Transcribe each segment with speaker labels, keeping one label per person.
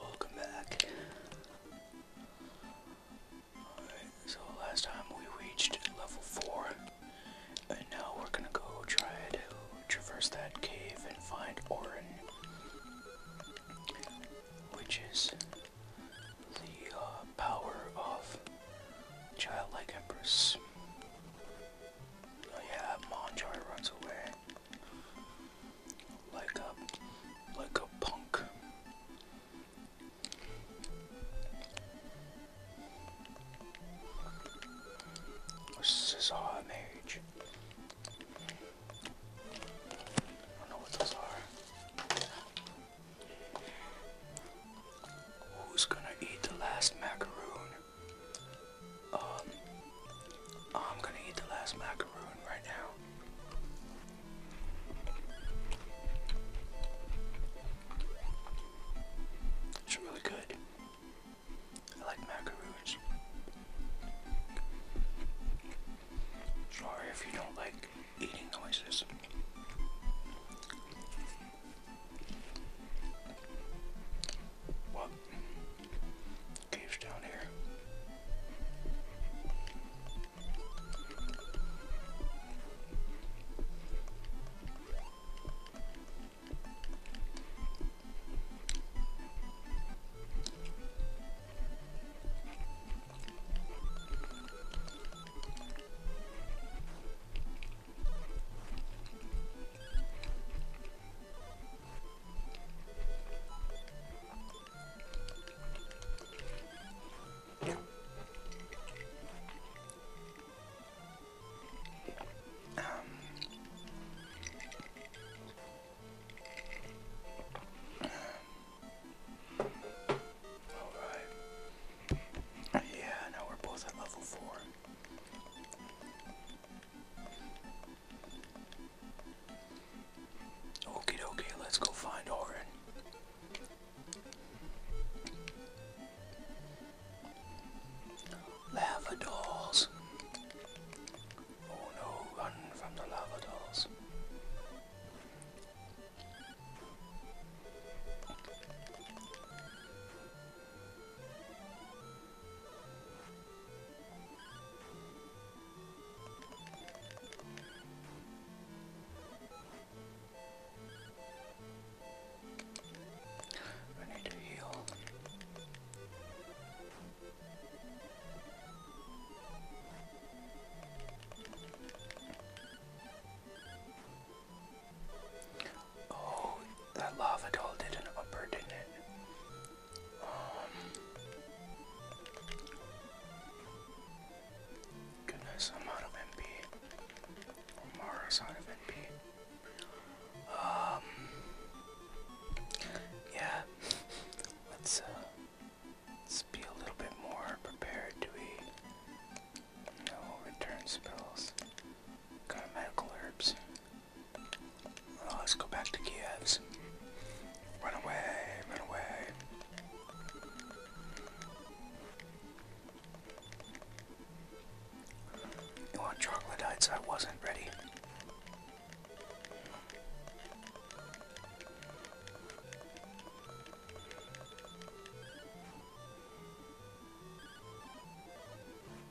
Speaker 1: Welcome back. so last time we reached level 4, and now we're gonna go try to traverse that cave and find Orin, which is the uh, power of Childlike Empress. Oh, yeah, Monjoy runs away like a like a punk. Scizor Mage. I don't know what those are. Who's gonna eat the last macaroon? Um, oh, I'm gonna eat the last macaroon right now. It's really good. I like macaroons. Sorry if you don't like eating noises. What? Caves down here. Um, all right. Yeah, now we're both at level four. Okay, dokie, let's go find Orin. Lava dolls. Oh no, run from the lava dolls. I need to heal. Oh, that lava doll did an upper, didn't it? Um, goodness, I'm out of MP. Omara's out of MP. Um, yeah, let's, uh, let's be a little bit more prepared. Do we? No return spells. Got medical herbs. let's go back to Kiev's. Run away, run away. You want troglodytes? I wasn't ready.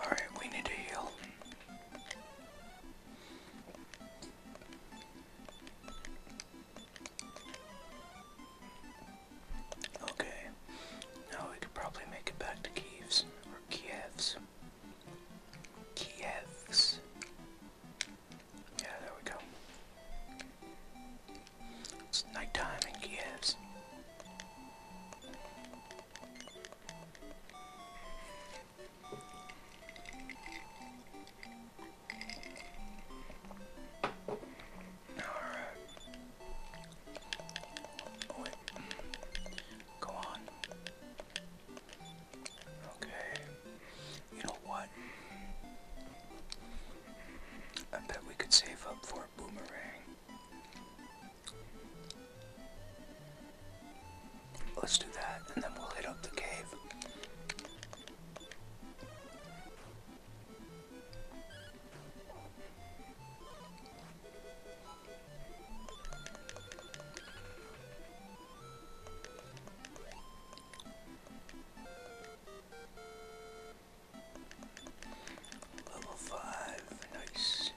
Speaker 1: Alright, we need to heal. Okay, now we could probably make it back to Kiev's, or Kiev's. Kiev's. Yeah, there we go. It's nighttime in Kiev's. Alright. Go on. Okay. You know what? I bet we could save up for a boomerang. Let's do that, and then we'll hit up the cave. Level five, nice.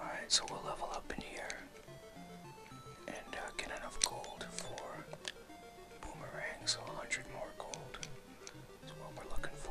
Speaker 1: Alright, so we'll level up in here and uh, get enough gold for boomerang, so 100 more gold is what we're looking for.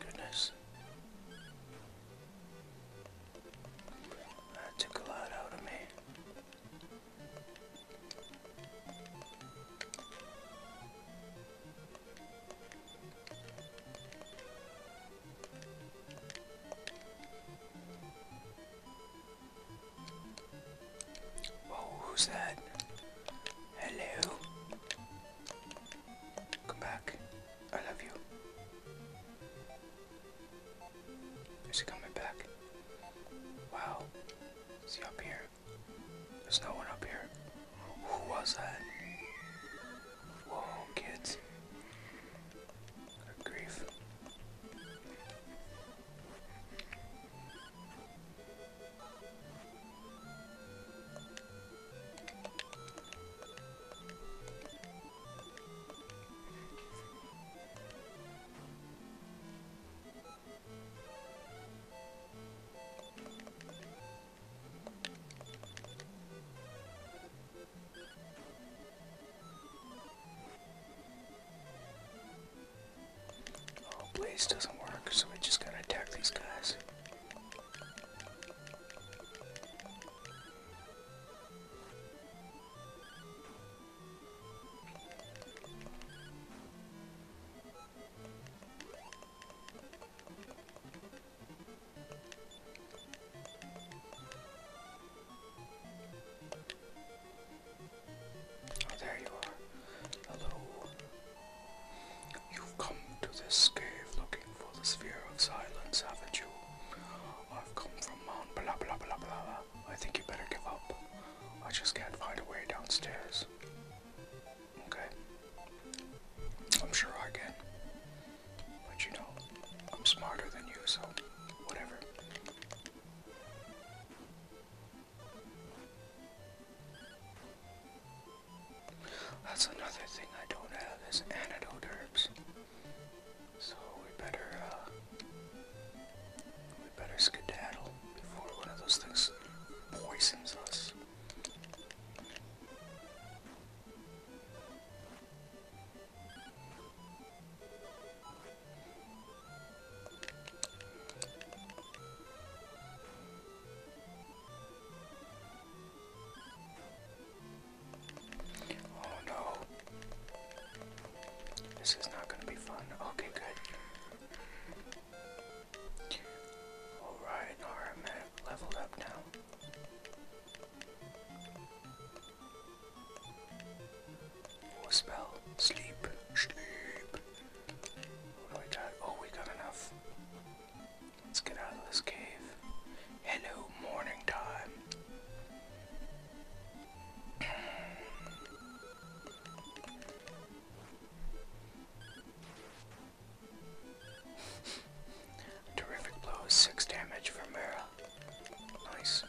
Speaker 1: Goodness. That took a lot out of me. who's that? Hello. Come back. I love you. Is coming back? Wow. Is up here? There's no one up here. Who was that? Whoa, kids. grief. Oh, blaze doesn't work, so we just gotta attack these guys. Oh, there you are. Hello. You've come to this cave looking for the sphere of silence, haven't you? I've come from Mount blah blah blah blah. I think you better give up. I just can't find a way downstairs. Okay? I'm sure I can. But you know, I'm smarter than you, so whatever. That's another thing I don't have is antidote herbs. So we better, uh, we better skedaddle before one of those things poisons us. Oh no. This is not going to be fun. Okay, good. Alright, alright, leveled up now. spell? Sleep. Sleep. What do we Oh, we got enough. Let's get out of this cave. Hello, morning time. Terrific blow six damage for Mera. Nice.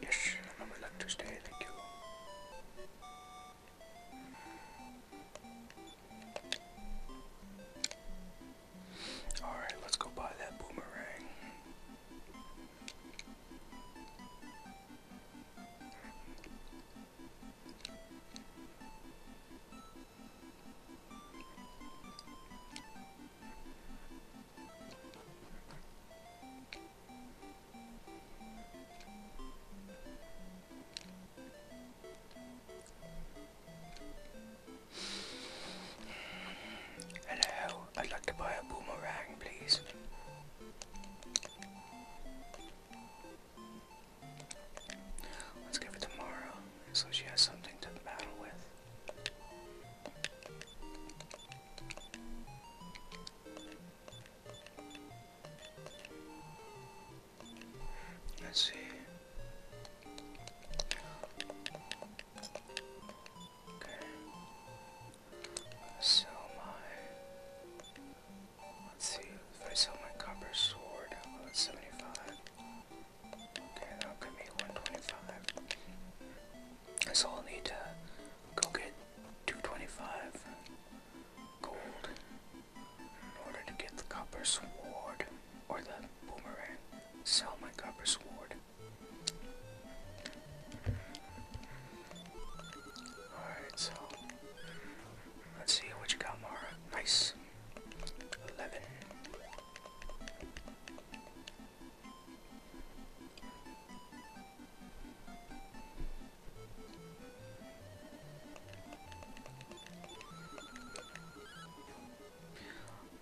Speaker 1: Yes, I would like to stay. Thank you. Alright, let's go buy that boomerang. Hello, I'd like to buy a boomerang, please. Let's give her tomorrow, so she has something to battle with. Let's see. Okay. Sell my. Let's see. If I sell my copper sword, well, oh, that's 75. Okay, that'll give me 125. So I'll need to go get 225 gold. In order to get the copper sword or the boomerang, sell my copper sword. Alright, so let's see what you got, Mara. Nice. 11.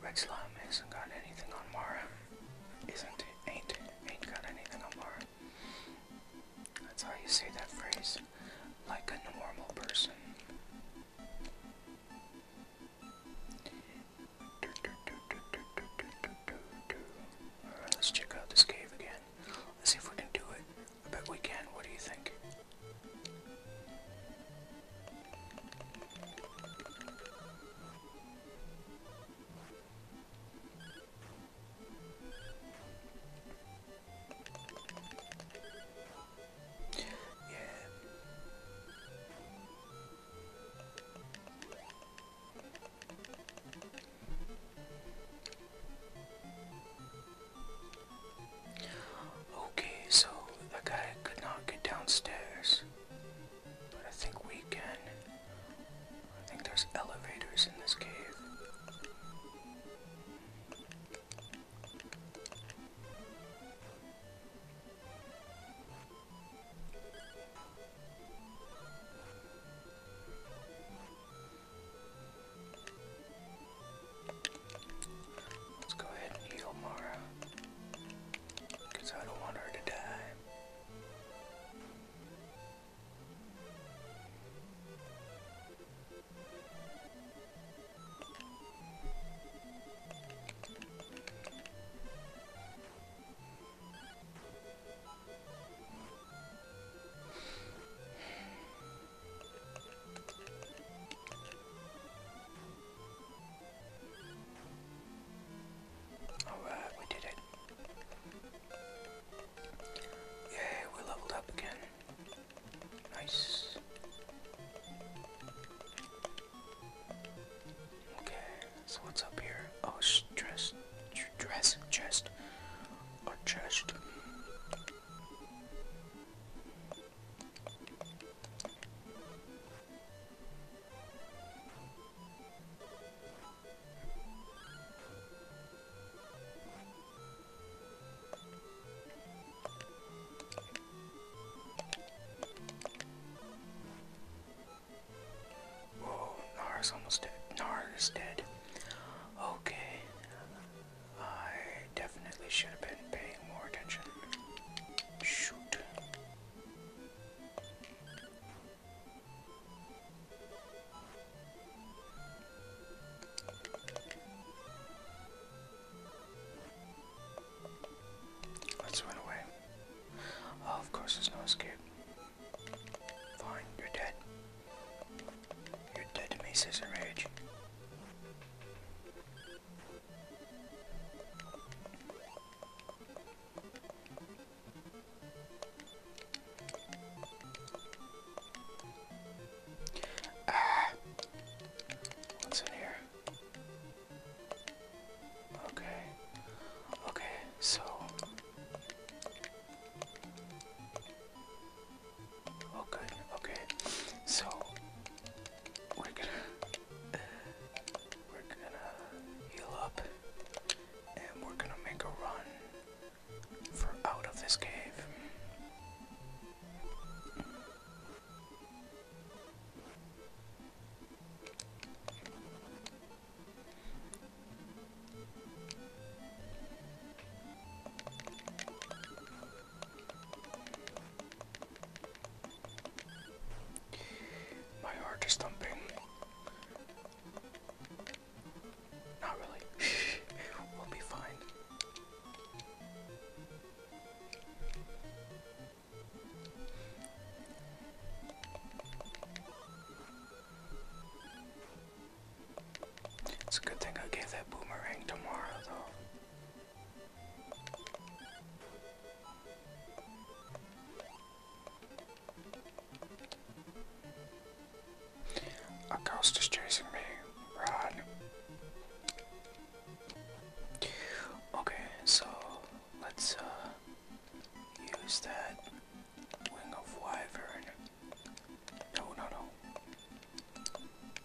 Speaker 1: Red Slime hasn't got anything on Mara. Isn't it? Ain't Ain't got anything on Mara. That's how you say that phrase. Like a normal person. Alright, let's check out this cave again. Let's see if we can do it. I bet we can. What do you think? Yeah. Okay, so the guy could not get downstairs. But I think we can. I think there's elevators in this cave. Let's go ahead and heal Mara. I don't want her to die. Alright, did it. Yay, we leveled up again. Nice. Okay, so what's up here? Oh, dress, dress, chest, or chest. Whoa, Nara's almost dead. is dead. Okay. I definitely should have been paying more attention. Shoot. Let's run away. Oh, of course, there's no escape. Fine, you're dead. You're dead to me, Scissor Rage. Ah, what's in here? Okay, okay, so Okay, okay. So we're gonna we're gonna heal up and we're gonna make a run for out of this cave. My heart is thumping. Not really. we'll be fine. It's a good thing I gave that boomerang to Mara, though. A ghost is chasing me. Run. Okay, so let's uh, use that wing of wyvern. No, no, no.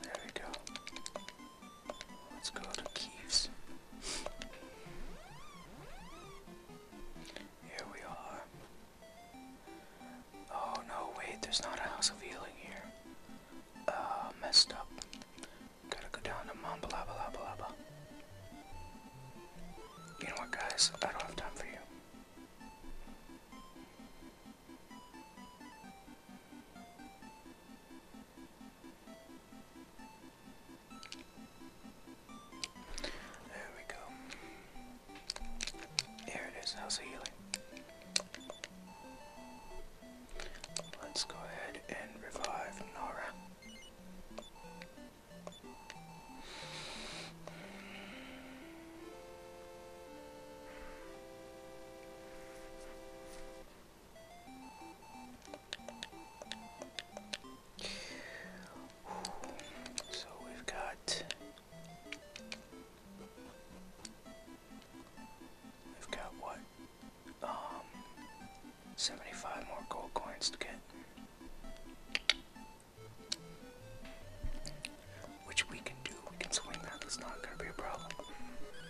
Speaker 1: There we go. Let's go to Keeves. Here we are. Oh no, wait, there's not a house of healing here. Uh, messed up. Gotta go down to Mambalabalabalaba. You know what, guys? I don't have time for you. There we go. Here it is, how's the healing? Let's go ahead and revive Nora. So we've got we've got what? Um 75 more gold coins to get. Which we can do. We can swing that. That's not going to be a problem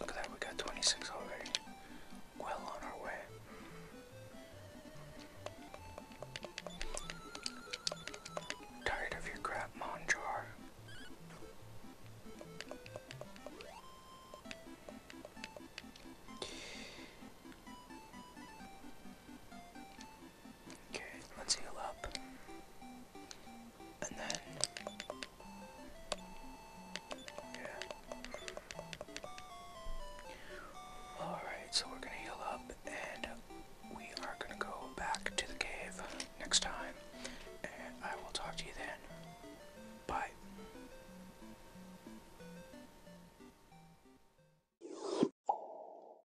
Speaker 1: Look at that, we got 26 already. Well on our way. Tired of your crap, Monjar. Okay, let's heal up. And then. Yeah. Alright, so we're gonna heal up and we are gonna go back to the cave next time. And I will talk to you then. Bye.